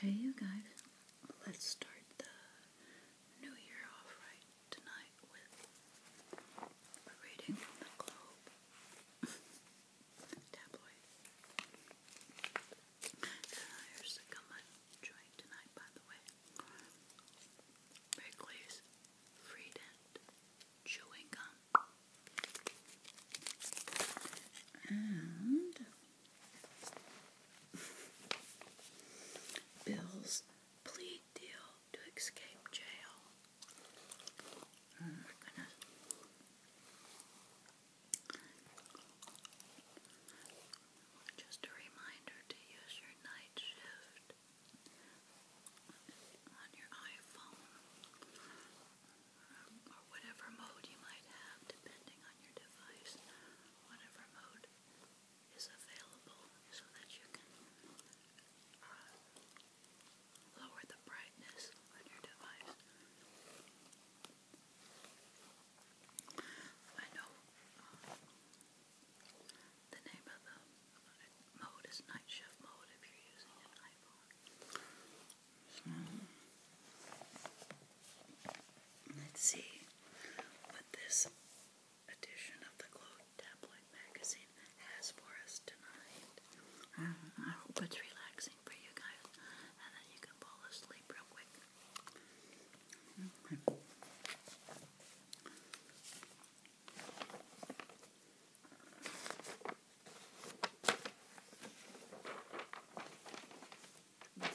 Hey you guys, let's start the new year off right tonight with reading the Globe tabloid. Here's the gummy joint tonight, by the way. Wrigley's Freedent Chewing Gum and Bill's plea deal to escape jail. Oh, Just a reminder to use your night shift on your iPhone or, whatever mode you might have depending on your device, whatever mode is available so that you can uh, lower the brightness on your device. I know uh, the name of the mode is night shift mode if you're using an iPhone. Um, let's see what this edition of the Glow Tabloid magazine has for us tonight. Um, I hope it's relaxing for you guys and then you can fall asleep real quick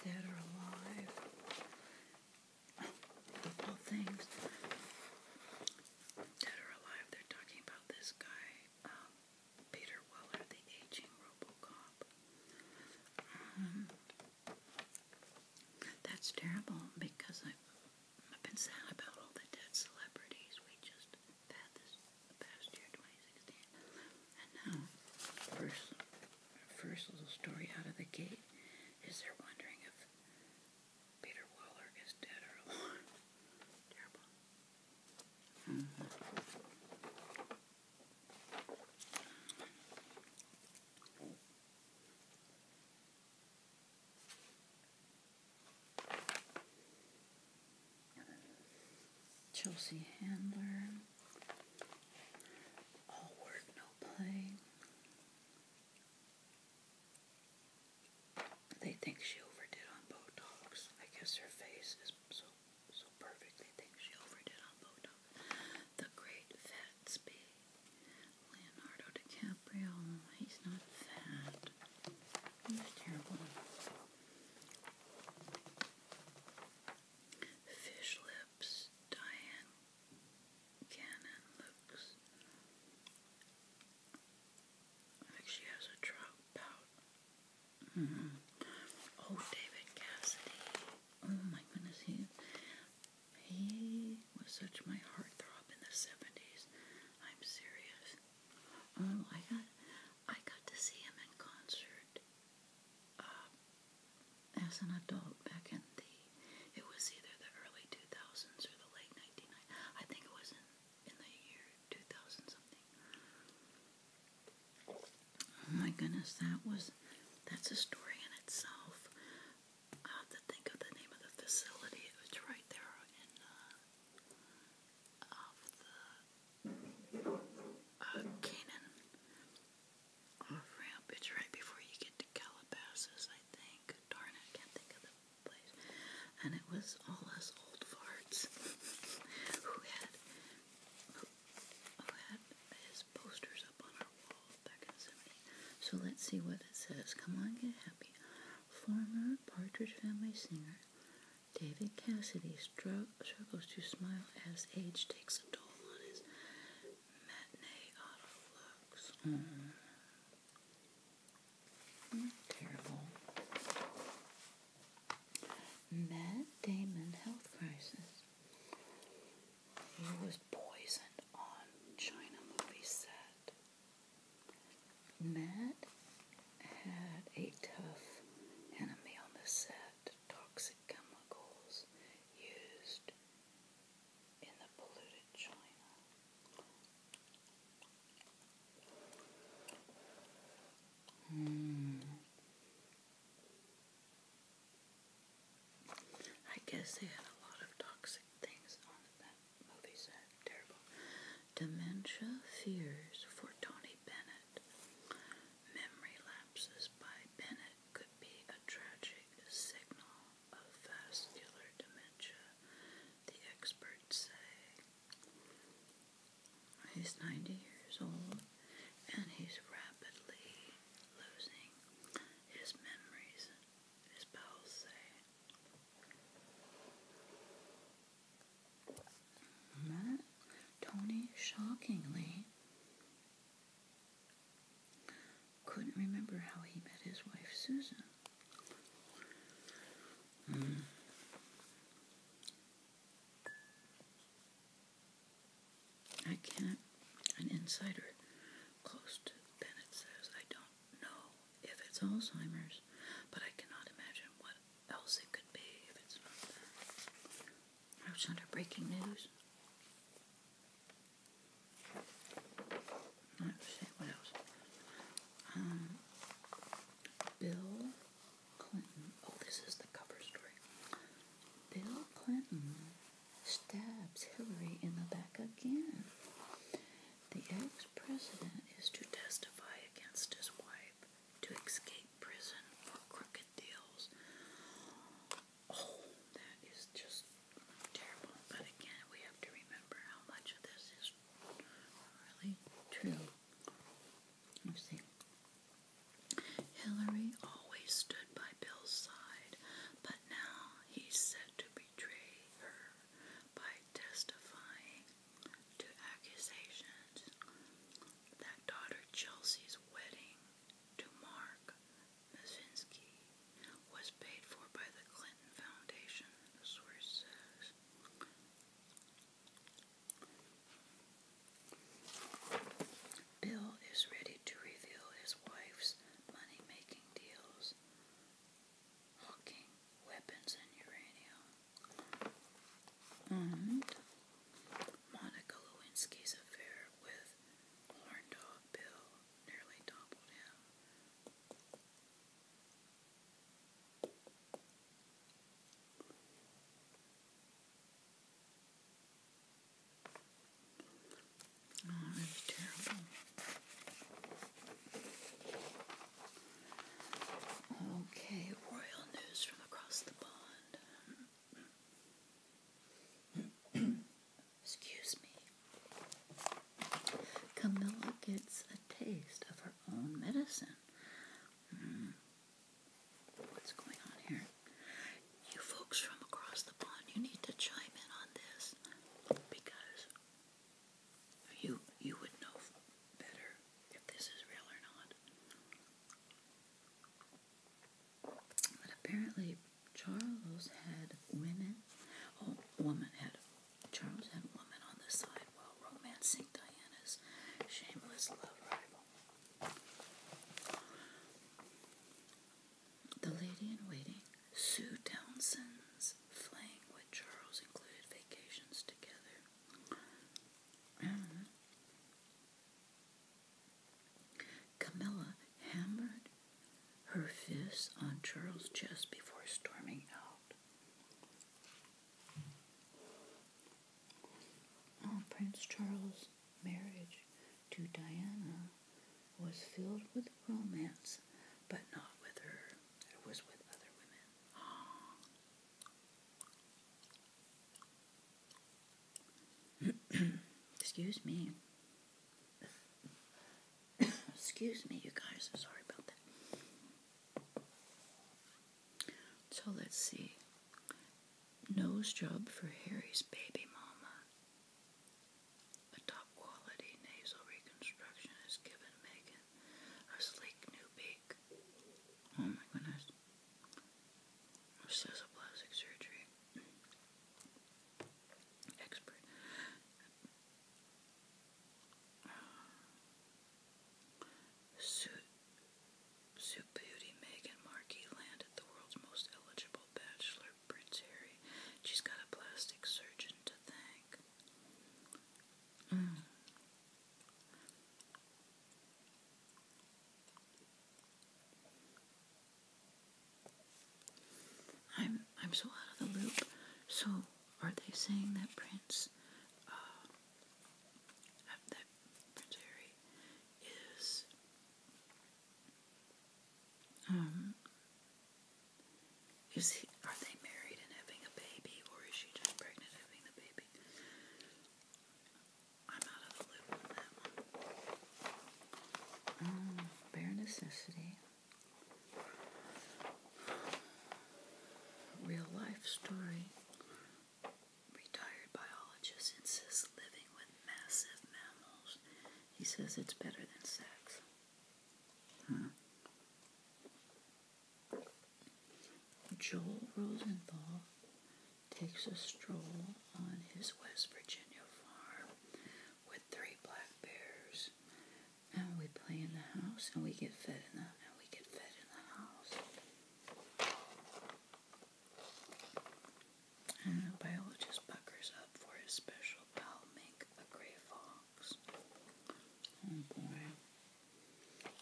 dead or alive. Well, things. Dead or alive, they're talking about this guy, um, Peter Weller, the aging Robocop. Um, that's terrible because I've, I've been sad about all the dead celebrities. We just this past year, 2016. And now, first, first little story out of the gate is they're wondering if Peter Waller is dead or alive. Terrible. Mm-hmm. Chelsea Handler, All Work No Play. They think she overdid on Botox. I guess her face is so so perfect. They think she overdid on Botox. The Great Gatsby, Leonardo DiCaprio. He's not fat. He's terrible. Fish Lips, Diane Cannon looks. I think she has a trout pout. Mm-hmm. Oh, David Cassidy. Oh my goodness, he he was such my heartthrob in the seventies. I'm serious. Oh, I got I got to see him in concert uh, as an adult back in the, it was either the early 2000s or the late 1990s. I think it was in, in the year 2000 something. Oh my goodness, that was, that's a story in itself. I have to think of the name of the facility. It was right there in, uh, of the uh, Canaan ramp. It's right before you get to Calabasas, I think. Darn, I can't think of the place. And it was all us old farts who had who, had his posters up on our wall back in the So let's see what it says. Come on, get happy. Former Partridge Family singer David Cassidy struggles to smile as age takes a toll on his matinee auto looks. Mm. mm Matt Damon health crisis. He was poisoned on China movie set. Matt had a tough enemy on the set that toxic chemicals used in the polluted China. Hmm. I guess they had a lot of toxic things on that movie set. Terrible. Dementia fears for Tony Bennett. Memory lapses by Bennett could be a tragic signal of vascular dementia, the experts say. He's 90 years old and he's rapidly losing his memories, his pals say. Tony shockingly couldn't remember how he met his wife Susan. Hmm. I can't, an insider close to Bennett says, I don't know if it's Alzheimer's, but I cannot imagine what else it could be if it's not that. That was under breaking news. what else? Um, Bill Clinton. Oh, this is the cover story. Bill Clinton stabs Hillary in the back again. The ex president is to testify against his wife to escape prison for crooked deals. Oh, that is just terrible. But again, we have to remember how much of this is really true. You see, Hillary always stood by Bill's side, but now he's said to betray her by testifying to accusations that daughter Chelsea's wedding to Mark Mazinski was paid for by the Clinton Foundation, the source says. Bill is ready to reveal his wife's money making deals, hawking weapons and uranium. And mm-hmm. Monica Lewinsky's affair with Horn Bill nearly toppled him. Oh, that's terrible. Okay, royal news from across the pond. Excuse me. Camilla gets a taste of her own medicine. Hmm. What's going on here? You folks from across the pond, you need to chime in on this because you you would know better if this is real or not. But apparently, Charles had women. Oh, woman had Charles had women on the side while romancing Diana's shameless love rival. The lady in waiting, Sue Townsend's fling with Charles included vacations together. Mm-hmm. Camilla hammered her fists on Charles' chest before storming out. Oh, Prince Charles' marriage to Diana was filled with romance, but not with her. It was with other women. Excuse me. Excuse me, you guys. sorry about that. So let's see. Nose job for Harry's baby mama. A top quality nasal reconstruction is given Megan a sleek new baby. Oh my goodness. This surgery expert. Suit, beauty Meghan Markey landed the world's most eligible bachelor, Prince She's got a plastic surgeon to thank. Mm. I'm I'm so out of the loop. So are they saying that Prince, uh, that Prince Harry is um is he are they married and having a baby or is she just pregnant having the baby? i mm, bare necessity. Real life story. Retired biologist insists living with massive mammals. He says it's better than sex. Hmm. Joel Rosenthal takes a stroll on his West Virginia farm with three black bears. And we play in the house and we get fed in the and we get fed in the house. And the biologist buckers up for his special pal mink, a gray fox. Oh boy.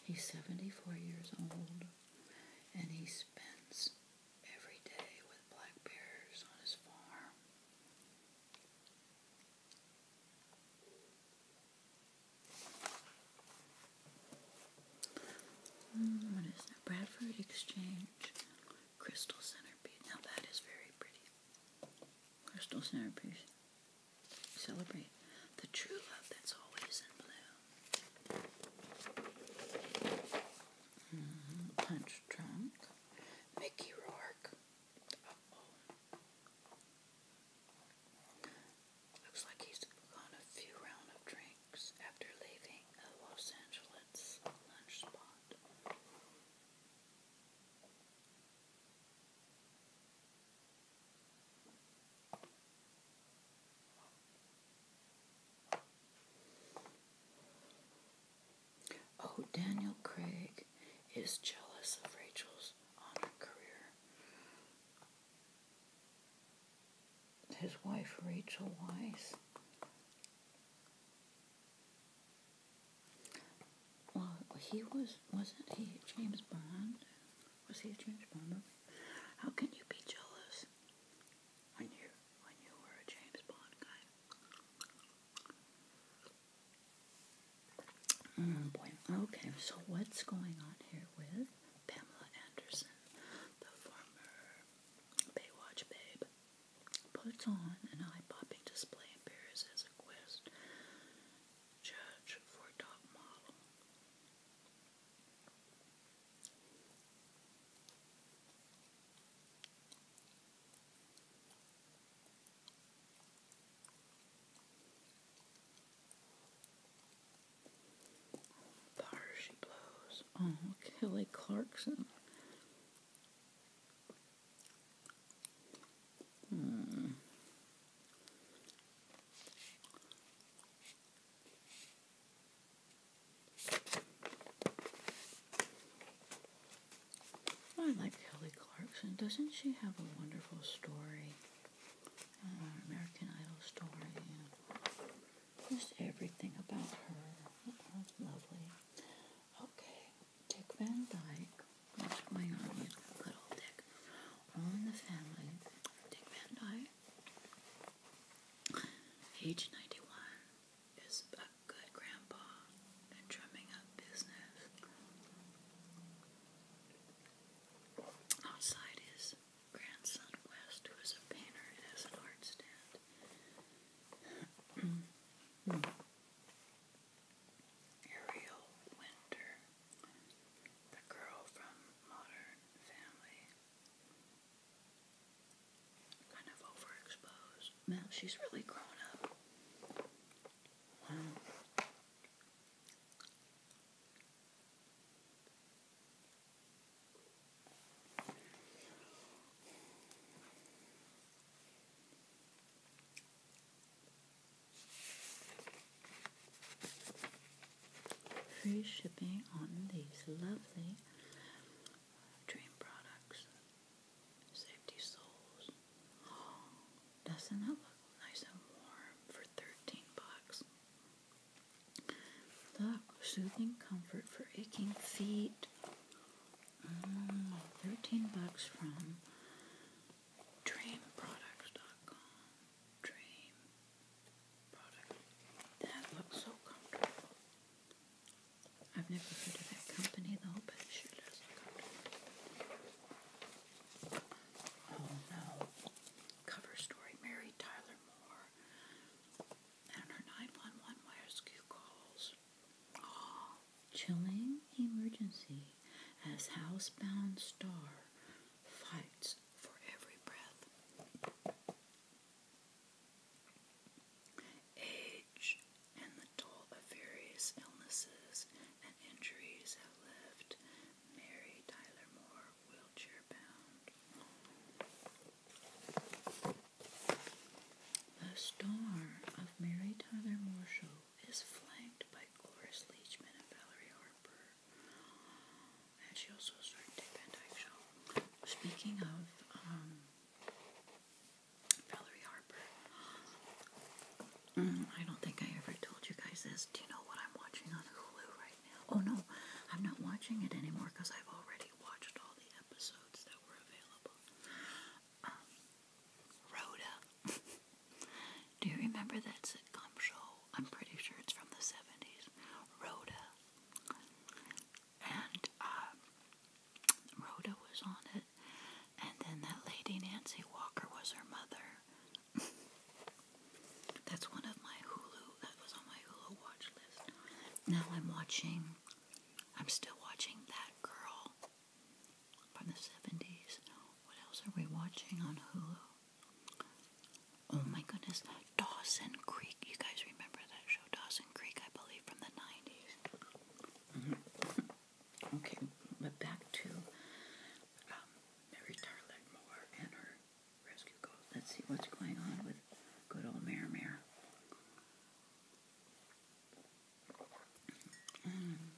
He's seventy four years old and he spends every day with black bears on his farm. Hmm, Bradford Exchange Crystal Centerpiece. Now that is very pretty. Crystal Centerpiece. Celebrate the true love that's always in bloom. Mm-hmm. punch drunk. Mickey Rourke. Looks like he's gone a few rounds of drinks after leaving a Los Angeles lunch spot. Oh, Daniel Craig is jealous of Rachel's honor career. His wife, Rachel Weiss. Well, he was, wasn't he James Bond? Was he a James Bond movie? How can you be jealous I knew, I knew were a James Bond guy. Oh boy. Okay, so what's going on here with Pamela Anderson, the former Baywatch babe, puts on an eye-popping display in Paris as a quest judge for top model. Power she blows. Oh, Kelly Clarkson. Hmm. I like Kelly Clarkson. Doesn't she have a wonderful story? Uh, American Idol story. Yeah. Just everything about her. lovely. Okay. Dick Van Dyke. What's going on with good old Dick? On the family. Dick Van Dyke Age 91 is a good grandpa and drumming up business. Outside is grandson West, who is a painter and has an art stand. Ariel Winter, the girl from Modern Family, Kind of overexposed. Mel, she's really grown up. Wow. Free shipping on these lovely dream products. Safety soles. doesn't that look nice and warm for 13 bucks? Look, soothing comfort for aching feet. Mm, 13 bucks from dreamproducts.com. Dream that looks so comfortable. I've never heard of that company though, but it sure does look comfortable. Oh no. Cover story Mary Tyler Moore and her 911 rescue calls. chilling emergency as housebound star fights for every breath. Age and the toll of various illnesses and injuries have left Mary Tyler Moore wheelchair bound. The star of Mary Tyler Moore Show is flanked by Cloris Leachman and Valerie Harper and she also started Dick Van Dyke Show. Speaking of um, Valerie Harper, um, I don't think I ever told you guys this. Do you know what I'm watching on Hulu right now? Oh no, I'm not watching it anymore because I've already watched all the episodes that were available. Um, Rhoda. Do you remember that sitcom show? I'm pretty sure it's from the 70s. Rhoda and um, Rhoda was on it, and then that lady Nancy Walker was her mother. That's one of my Hulu. That was on my Hulu watch list. Now I'm watching. I'm still watching that girl from the '70s. What else are we watching on Hulu? Oh my goodness, Dawson Creek. You guys remember that show, Dawson Creek, I believe, from the 90s. Mm-hmm. Okay, but back to um, Mary Tarlet Moore and her rescue goals. Let's see what's going on with good old Mare Mare. Mm.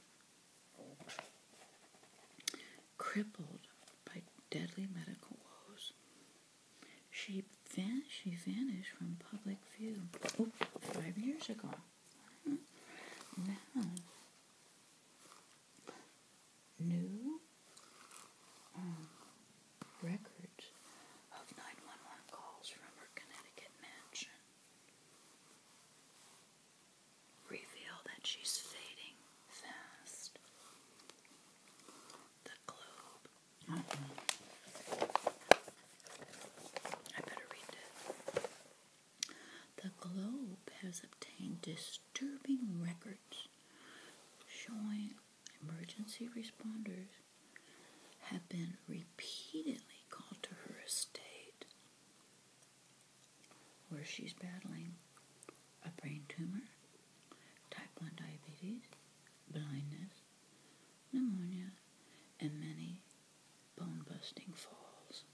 Crippled by deadly medical woes, she, van she vanished from public view oh, five years ago. Now, new um, records of 911 calls from her Connecticut mansion reveal that she's fading fast. The globe the Globe has obtained disturbing records showing emergency responders have been repeatedly called to her estate where she's battling a brain tumor type 1 diabetes, blindness, pneumonia, and many bone busting falls.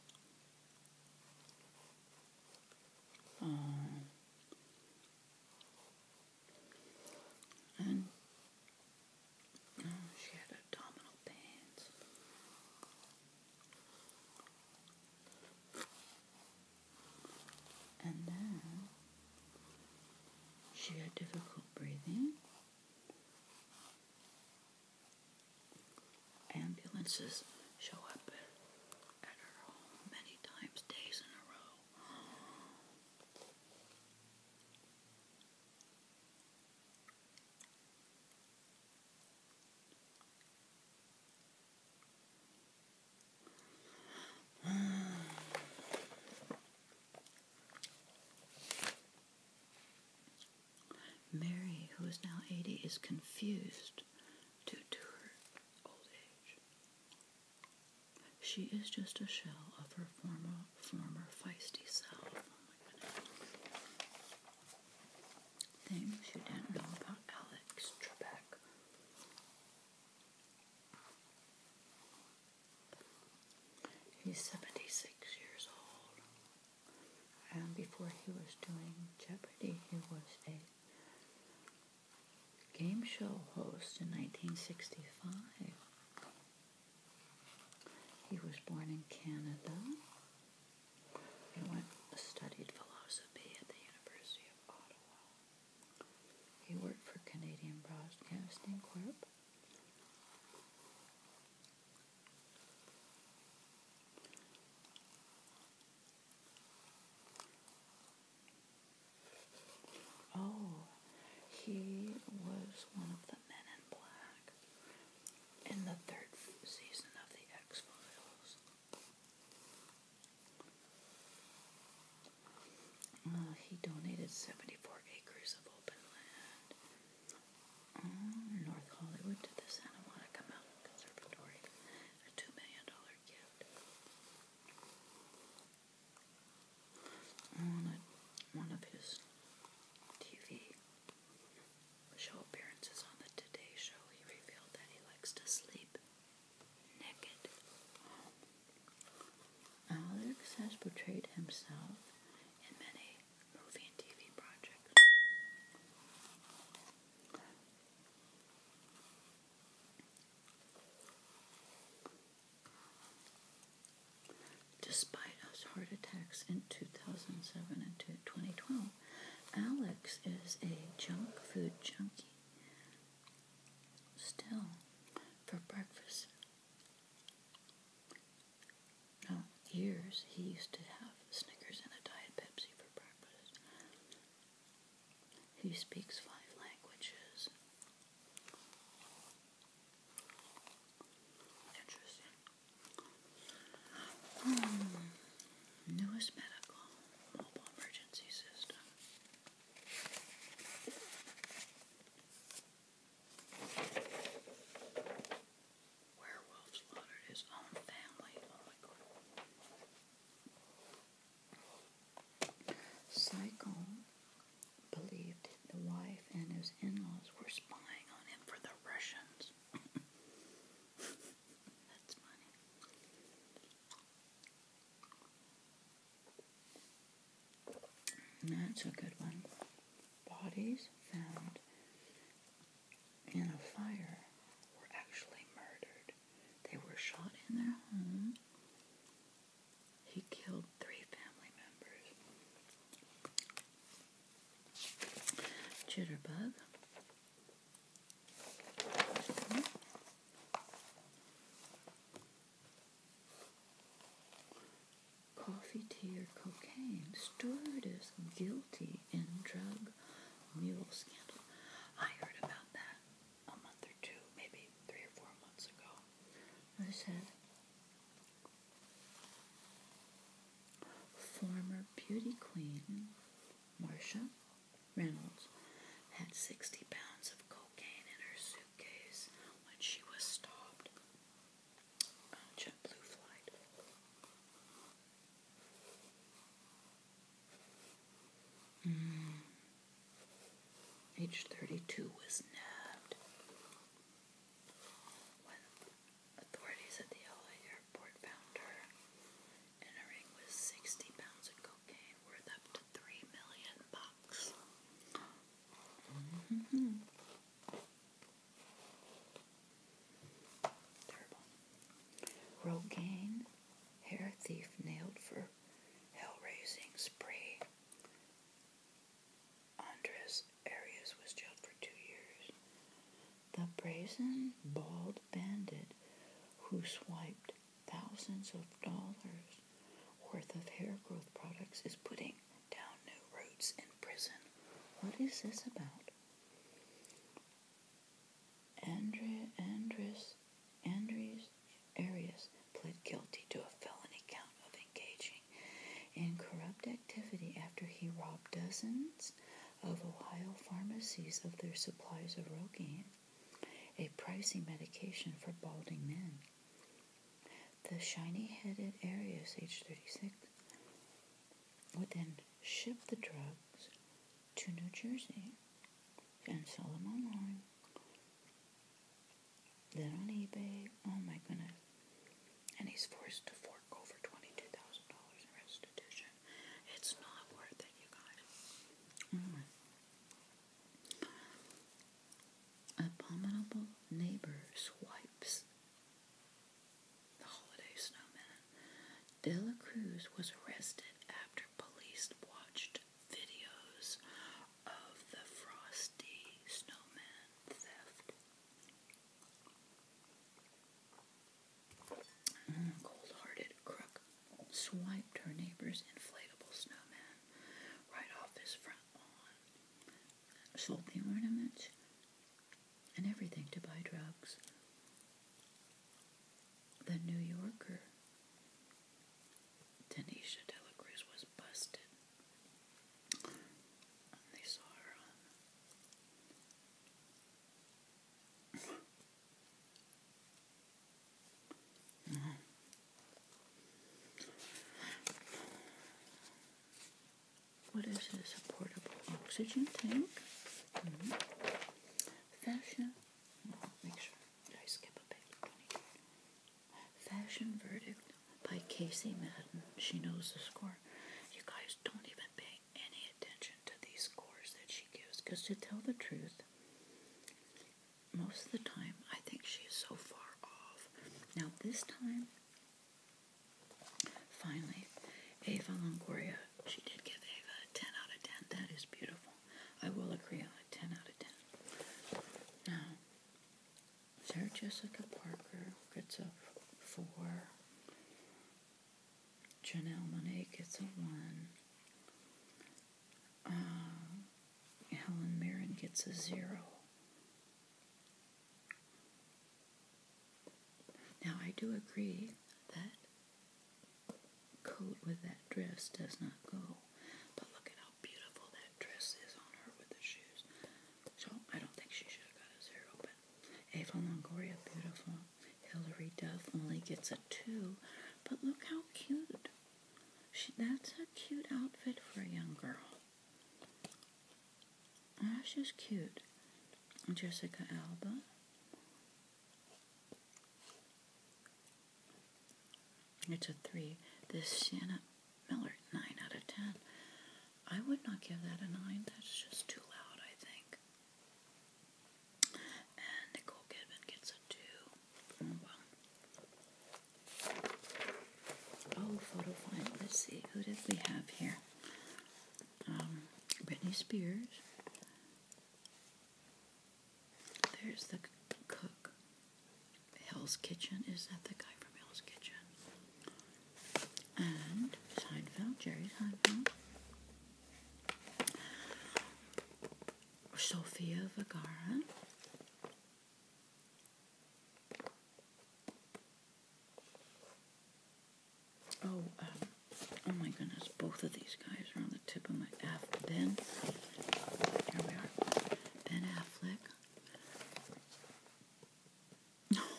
Um, and oh, she had abdominal pains. And now, she had difficult breathing. Ambulances show up at her home many times, days in a row. Mary, who is now 80, is confused due to her old age. She is just a shell of her former, former feisty self. Oh Things you didn't know about Alex Trebek. He's 76 years old. And um, before he was doing Jeopardy, he was a game show host in 1965. He was born in Canada. He went studied philosophy at the University of Ottawa. He worked for Canadian Broadcasting Corp. Oh, he was one of the men in black in the third season of The X Files. Uh, he donated 74 acres of open land uh, North Hollywood to the Santa Monica Conservatory, a $2 million gift. On one of his TV show appearances on the Today Show, he revealed that he likes to sleep Alex has portrayed himself in many movie and TV projects. Despite his heart attacks in 2007 and 2012, Alex is a junk food junkie Still, for breakfast. years he used to have Snickers and a Diet Pepsi for breakfast. He speaks five languages. Interesting. Hmm, newest medical mobile emergency system. Werewolf slaughtered his own family. Oh believed the wife and his in laws were spying on him for the Russians. That's funny. That's a good one. Bodies found in a fire were actually murdered. They were shot in their home. He killed three family members. Jitterbug coffee, tea, or cocaine, stored is guilty in drug mule scandal. I heard about that a month or two, maybe three or four months ago. I said, former beauty queen Marcia Reynolds had 60 pounds of cocaine in her suitcase suitcase when she was stopped on a flight. Mm. 32 was nabbed authorities at the LA airport found her in a ring with 60 pounds of cocaine worth up to 3 million Mm-hmm. Rogaine, hair thief nailed for hell-raising spree. Andres Arias was jailed for two years. The brazen, bald bandit who swiped thousands of dollars worth of hair growth products is putting down new roots in prison. What is this about? Andre, Andres, Andres Arias pled guilty to a felony count of engaging in corrupt activity after he robbed dozens of Ohio pharmacies of their supplies of Rogaine, a pricey medication for balding men. The shiny-headed Arius, age 36, would then ship the drugs to New Jersey and sell them online. Then on eBay, oh my goodness. And he's forced to fork over $22,000 in restitution. It's not worth it, you guys. Mm-hmm. Abominable neighbor swipes the holiday snowman. De Cruz was arrested after police watched videos of the frosty snowman theft. Mm, Cold hearted crook swiped her neighbor's inflatable snowman right off his front sold the ornaments and everything to buy drugs. The New Yorker, Tanisha Dela was busted. they saw her What is this? A portable oxygen tank? Mm-hmm. Fashion. make sure. I skip a page? Fashion Verdict by Casey Madden. She knows the score. You guys don't even pay any attention to these scores that she gives because to tell the truth, most of the time, I think she is so far off. Now, this time, finally, Ava Longoria, she did give Ava a 10 out of 10. That is beautiful. I will agree on a 10 out of 10. Now, Sarah Jessica Parker gets a 4. Janelle Monet gets a 1. Um, Helen Mirren gets a zero. Now, I do agree that coat with that dress does not go. But look at how beautiful that dress is on her with the shoes. So, I don't think she should have got a zero. But Ava Longoria, beautiful. Hilary Duff only gets a two. But look how cute. She, that's a cute outfit for a young girl she's cute. Jessica Alba. It's a three. This Sienna Miller, nine out of ten. I would not give that a nine. That's just too loud, I think. And Nicole Kidman gets a two. Oh, Oh, photo find. Let's see. Who did we have here? Um, Britney Spears. There's the cook. Hell's Kitchen. Is that the guy from Hell's Kitchen? And Seinfeld. Jerry Seinfeld. Sofia Vergara. Oh, um, oh my goodness, both of these guys are on the tip of my F. Ben, here we are, Ben Affleck. Oh,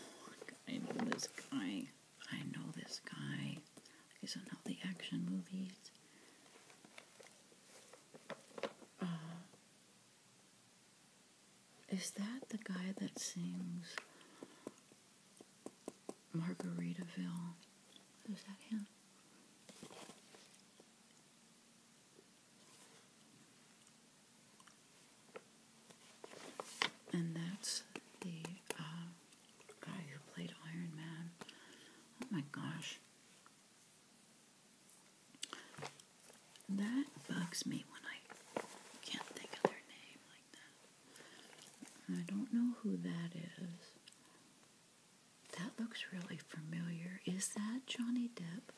I know this guy. I know this guy. He's in not the action movies. Uh, is that the guy that sings Margaritaville? Is that him? And that's the uh, guy who played Iron Man. Oh my gosh. That bugs me when I can't think of their name I don't know who that is. That looks really familiar. Is that Johnny Depp?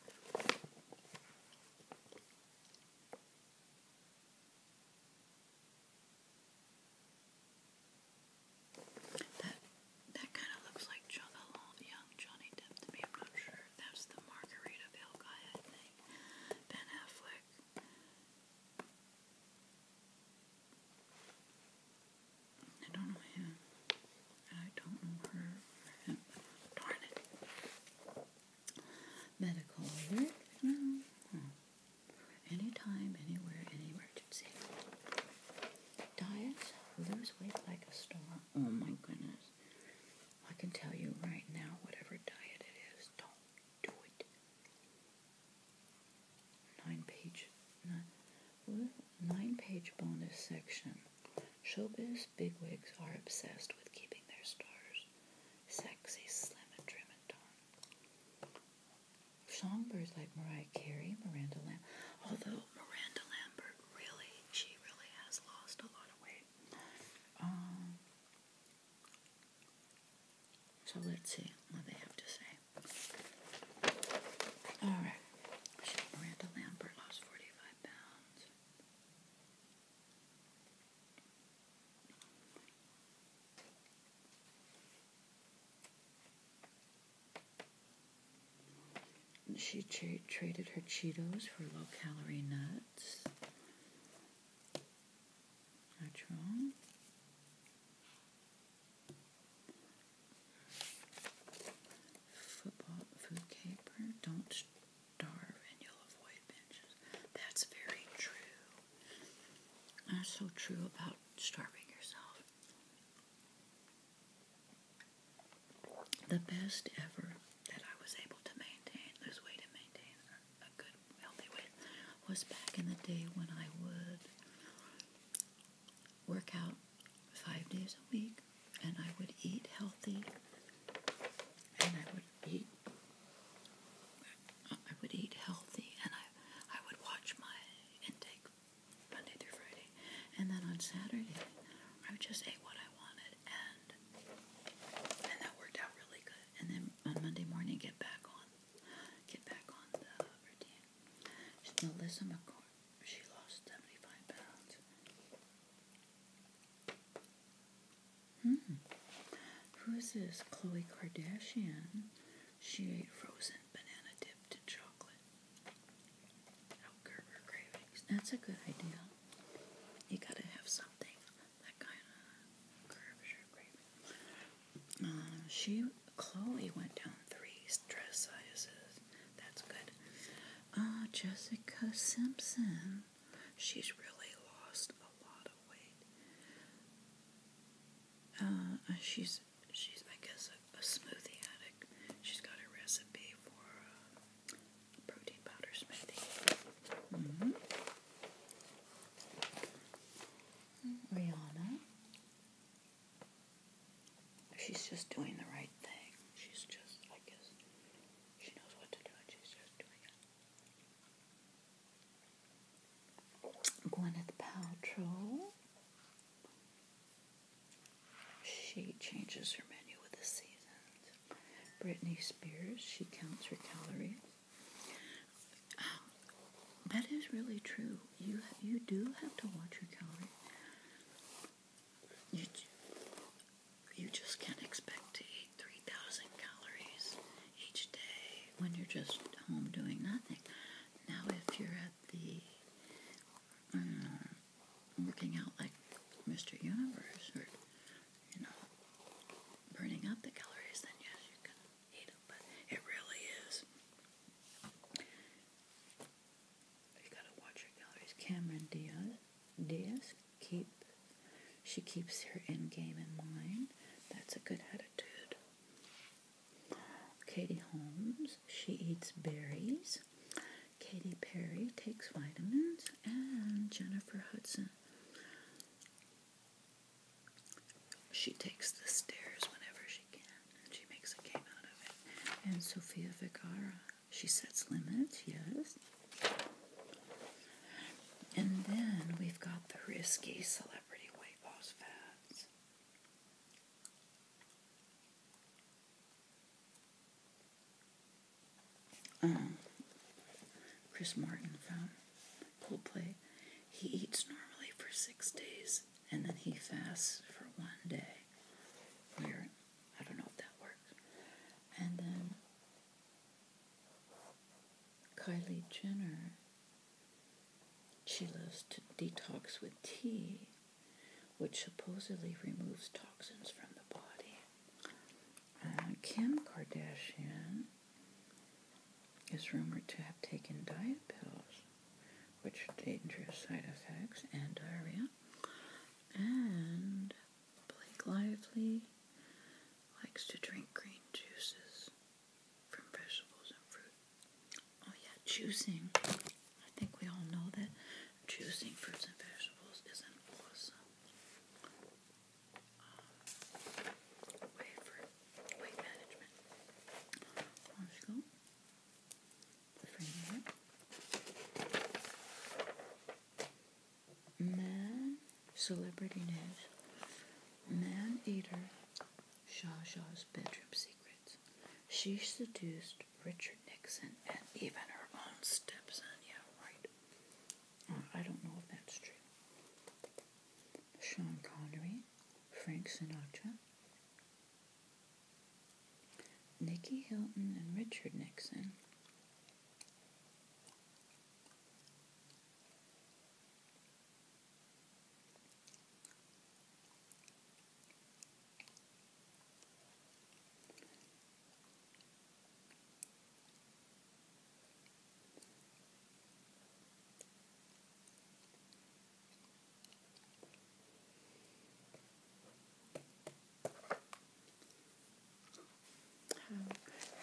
That kind of looks like young Johnny Depp to me. I'm not sure. That's the Margaritaville guy, I think. Ben Affleck. I don't know him. I don't know her Darn it. Medical alert. No. Hmm. Anytime, anywhere, any emergency. Diet. Lose weight like a star. Oh my goodness. I can tell you right now, whatever diet it is, don't do it. Nine page, nine, page bonus section. Showbiz bigwigs are obsessed with keeping their stars sexy, slim, and trim and toned. Songbirds like Mariah Carey, Miranda Lamb, although Miranda Lambert really, she really has lost a lot of weight. Um, so let's see what they have to say. Alright. Miranda Lambert lost 45 pounds. She traded her Cheetos for low calorie nuts. That's wrong. Football, food caper. Don't starve and you'll avoid binges. That's very true. That's so true about starving yourself the best ever that I was able to maintain, lose weight maintain a good, healthy weight, was back in the day when I would work out five days a week and I would eat healthy and I would eat I would eat healthy and I I would watch my intake Monday through Friday and then on Saturday I just ate what I wanted, and and that worked out really good. And then on Monday morning, get back on, get back on the routine. Melissa McCoy, she lost seventy five pounds. Hmm. Who is this? Khloe Kardashian. She ate frozen banana dipped in chocolate. Outgerber cravings. That's a good idea. You gotta have something that kind of curves your grape. Um, she, Chloe, went down three dress sizes. That's good. Uh, Jessica Simpson. She's really lost a lot of weight. Uh, uh, she's she's I guess a, smoothie addict. She's got a recipe for uh, protein powder smoothie. Mm-hmm. Rihanna. She's just doing the right thing. She's just, I guess, she knows what to do and she's just doing it. Gwyneth Paltrow. She changes her menu with the seasons. Britney Spears, she counts her calories. Um, that is really true. You you do have to watch your calories. You you just can't expect to eat three thousand calories each day when you're just home doing nothing. Now, if you're at the mm, working out like Mr. Universe or, you know, burning up the calories, then yes, you can eat them. But it really is. You gotta watch your calories. Cameron Diaz, Diaz keep, she keeps her end game in mind. That's a good attitude. Katie Holmes, she eats berries. Katy Perry takes vitamins, and Jennifer Hudson. She takes the stairs whenever she can, and she makes a game out of it. And Sofia Vergara, she sets limits, yes. And then we've got the risky celebrity weight loss fads. Um, Chris Martin from Coldplay, he eats normally for six days and then he fasts for one day. Weird. I don't know if that works. And then Kylie Jenner, she loves to detox with tea, which supposedly removes toxins from the body. Uh, Kim Kardashian is rumored to have taken diet pills, which dangerous side effects and diarrhea. And Blake Lively likes to drink green juices from vegetables and fruit. Oh yeah, juicing. I think we all know that Choosing fruits and vegetables is an awesome um, weight management. Man celebrity news. Man eater Shah Shah's bedroom secrets. She seduced Richard Nixon, and even her own stepson. Yeah, right. Uh, I don't know if that's true. Sean Connery, Frank Sinatra, Nikki Hilton, and Richard Nixon.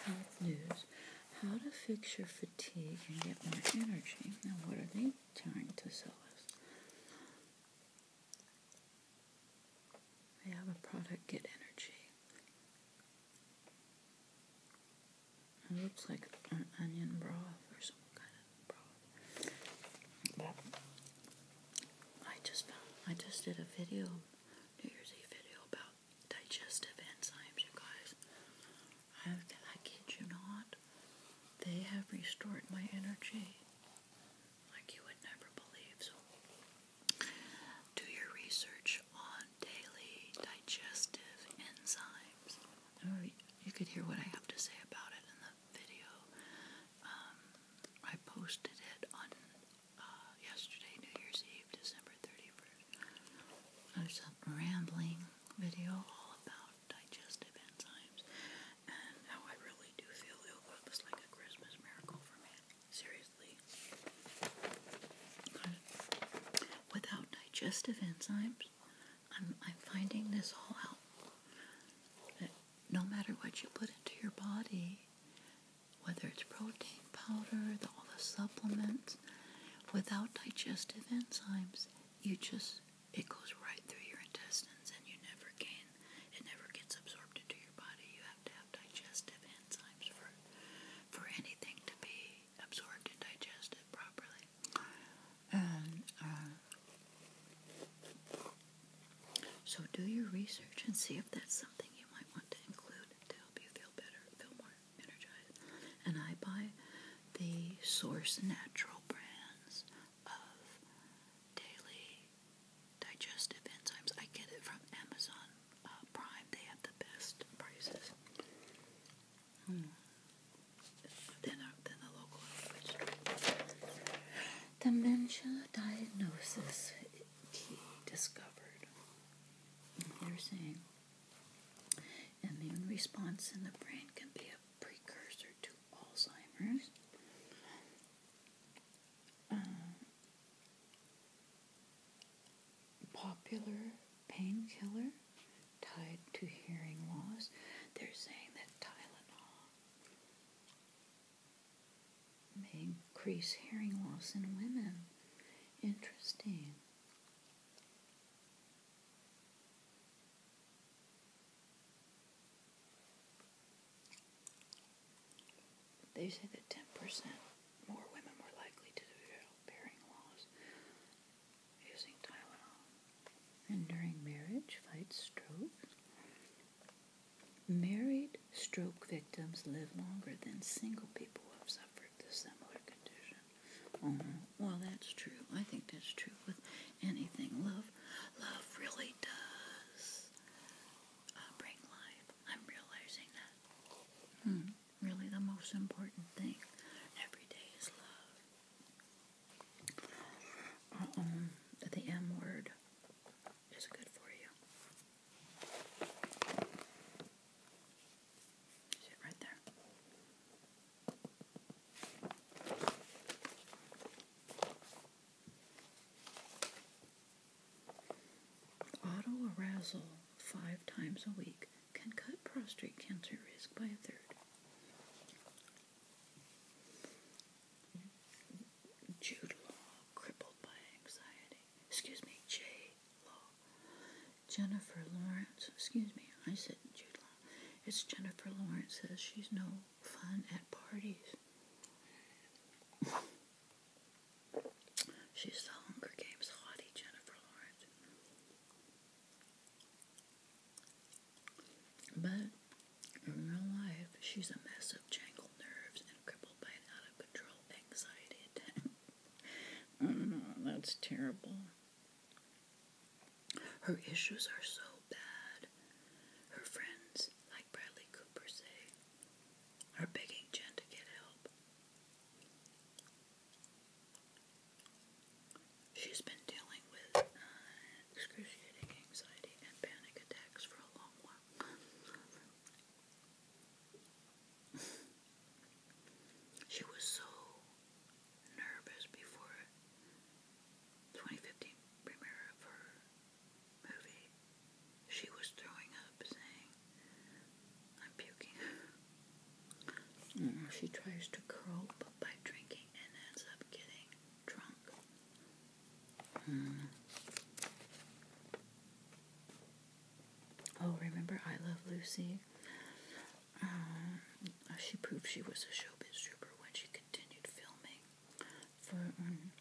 How, health news. How to fix your fatigue and get more energy. Now, what are they trying to sell us? They have a product, Get Energy. It looks like an onion broth or some kind of broth. But I just I just did a video, New Year's Eve video about digestive enzymes, you guys. I kid you not, they have restored my energy like you would never believe. So, do your research on daily digestive enzymes. Oh, you could hear what I have to say about it in the video. Um, I posted it on uh, yesterday, New Year's Eve, December 31st. There's a rambling video all about digestive enzymes and how I really do feel ill. It was like a Christmas miracle for me. Seriously. Without digestive enzymes, I'm, I'm finding this all out. That no matter what you put into your body, whether it's protein powder, the, all the supplements, without digestive enzymes, you just, it goes right through your intestines and you never gain it never gets absorbed into your body. You have to have digestive enzymes for for anything to be absorbed and digested properly. Uh, so, do your research and see if that's something you might want to include to help you feel better, feel more energized. And I buy the Source Natural brands of daily digestive enzymes. I get it from Amazon uh, Prime. They have the best prices. Hmm. Than, uh, the local language. Dementia diagnosis key discovered. Mm-hmm. They're saying immune response in the brain can be a precursor to Alzheimer's. Uh, popular painkiller tied to hearing loss. They're saying that Tylenol may increase hearing loss in women. Interesting. They say that 10% more women are likely to develop bearing loss using Tylenol. And during marriage, fight stroke. Married stroke victims live longer than single people who have suffered the similar condition. Mm-hmm. Well, that's true. I think that's true with anything. Love, love really does uh, break I'm realizing that hmm, really the most important thing every day is love. Uh the M word is good for you. right there. Autoarousal five times a week can cut prostate cancer risk by a third. Jude Law, crippled by anxiety. Excuse me, J. Law. Jennifer Lawrence, excuse me, I said Jude Law. It's Jennifer Lawrence says she's no fun at parties. She's the Hunger Games hottie, Jennifer Lawrence. But in real life, she's a mess of jangled nerves and crippled by an out of control anxiety attack. oh, that's terrible. Her issues are so bad. Her friends, like Bradley Cooper, say, are begging Jen to get help. She's been dealing with uh, excruciating anxiety and panic attacks for a long while. she was so nervous before 2015 premiere of her movie, she was throwing up, saying, I'm puking. Mm. She tries to cope by drinking and ends up getting drunk. Oh, remember I Love Lucy? Um, she proved she was a showbiz trooper when she continued filming for um,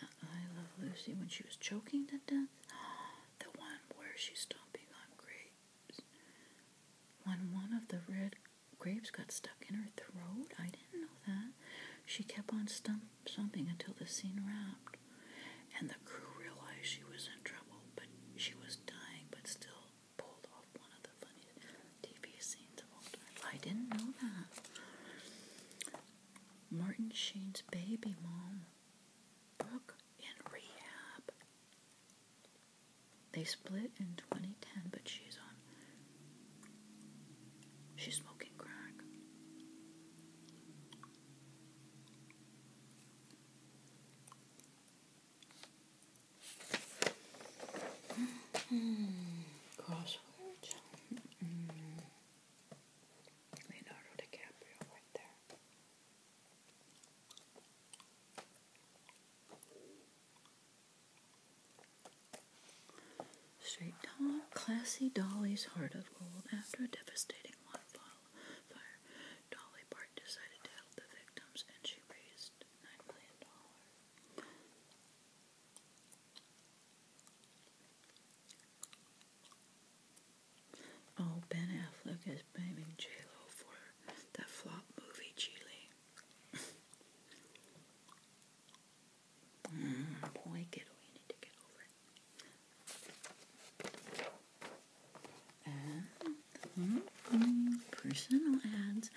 I Love Lucy when she was choking to death. The one where she's stomping on grapes. When one of the red grapes got stuck in her throat. I didn't know that. She kept on stomping until the scene wrapped. And the crew realized she was in trouble, but she was dying, but still pulled off one of the funniest TV scenes of all time. I didn't know that. Martin Sheen's baby mom, Brooke, in rehab. They split in 2010, but she's on. She's smoking crack. Mm Leonardo DiCaprio right there. Straight top, classy Dolly's heart of gold. After a devastating wildfire, Dolly Parton decided to help the victims and she raised $9 million. Oh, Ben Affleck is blaming J Lo for that flop movie, Chile. mm, boy, get over it. Mm, personal ads.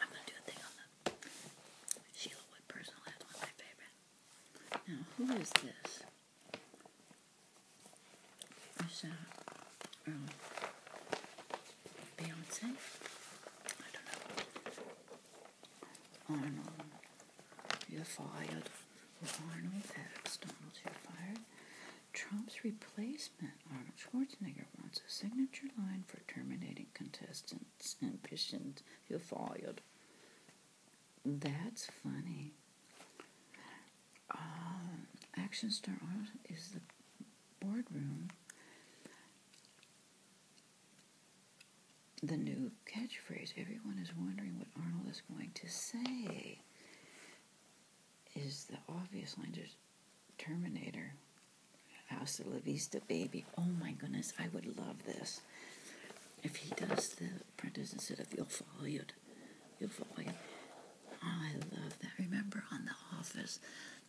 I'm gonna do a thing on the Sheila Wood personal ads, one of my favorite. Now, who is this? was uh, um, Beyonce. I don't know. On You're Fired. Arnold X. Donald's You're Fired. Trump's replacement, Arnold Schwarzenegger, wants a signature line for terminating contestants' ambitions. You're fired. That's funny. Um, Action Star Art is the boardroom. The new catchphrase. Everyone is wondering what Arnold is going to say. Is the obvious line just Terminator? of la vista, baby. Oh my goodness, I would love this. If he does the printers instead of you'll your you'll follow. I love that. Remember on The Office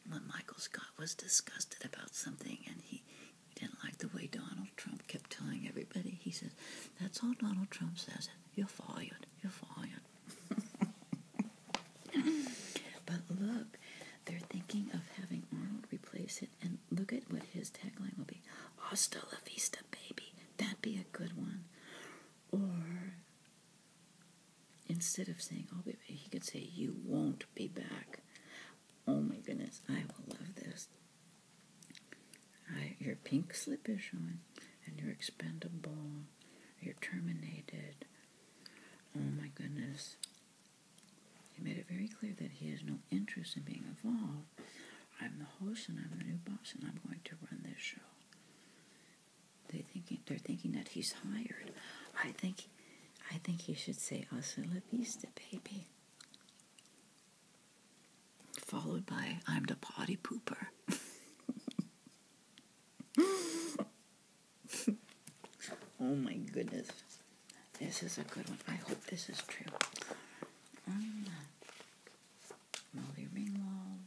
when Michael Scott was disgusted about something and he didn't like the way Donald Trump kept telling everybody. He said, That's all Donald Trump says. You're fired. you will follow.'" but look, they're thinking of having Arnold replace and look at what his tagline will be "Asta la vista, baby. That'd be a good one. Or instead of saying, oh, baby, he could say, you won't be back. Oh my goodness, I will love this. I, your pink slip is showing, and you're expendable. You're terminated. Oh my goodness. He made it very clear that he has no interest in being involved. I'm the host and I'm the new boss and I'm going to run this show. They thinking they're thinking that he's hired. I think I think he should say hasta la vista, baby. Followed by I'm the potty pooper. oh my goodness. This is a good one. I hope this is true. Um, Molly Ringwald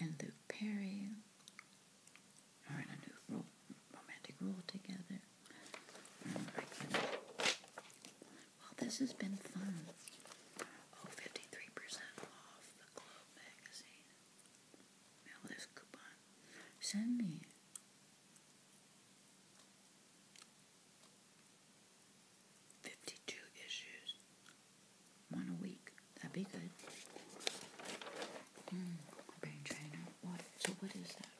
and Luke Perry are in a new romantic role together. well, this has been fun. Oh, percent off the Globe magazine. Mail this coupon. Send me 52 issues, one a week. That'd be good. Hmm, brain trainer. What? So what is that?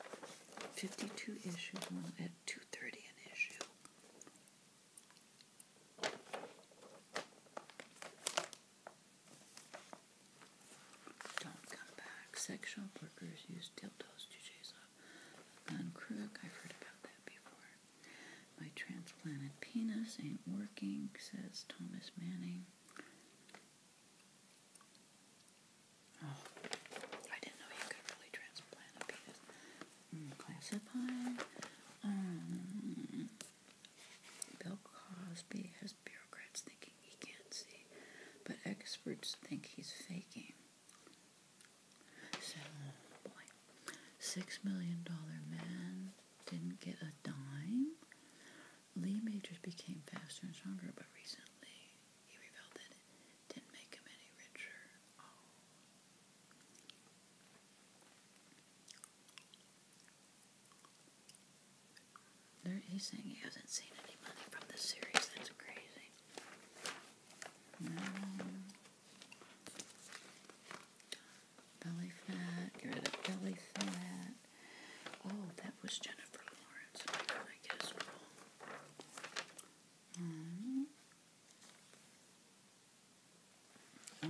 52 issues, one at 2.30 an issue. Don't come back. Sexual workers use dildos to chase i crook. I've heard about that before. My transplanted penis ain't working, says Thomas Manning. Oh, I didn't know you could really transplant a penis. Mm, Um, Bill Cosby has bureaucrats thinking he can't see, but experts think he's faking. So, boy, six million dollar man didn't get a dime. Lee Majors became faster and stronger, but recently he revealed that it didn't make him any richer. he's saying he hasn't seen any money from this series. That's crazy. Belly fat, get rid of belly fat. Oh, that was Jennifer Lawrence. I'm going mm-hmm. Oh,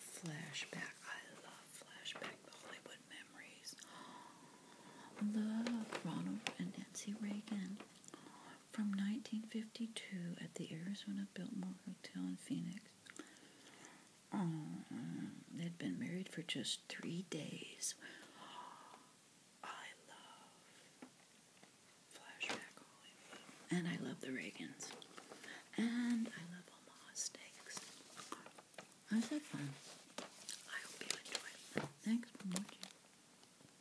flashback. I love flashback, the Hollywood memories. Oh, Ronald and Nancy Reagan. From 1952 at the Arizona Biltmore Hotel in Phoenix, um, they'd been married for just three days. I love flashback Hollywood, and I love the Reagans, and I love Omaha Steaks. How's that fun? I hope you enjoy. Thanks for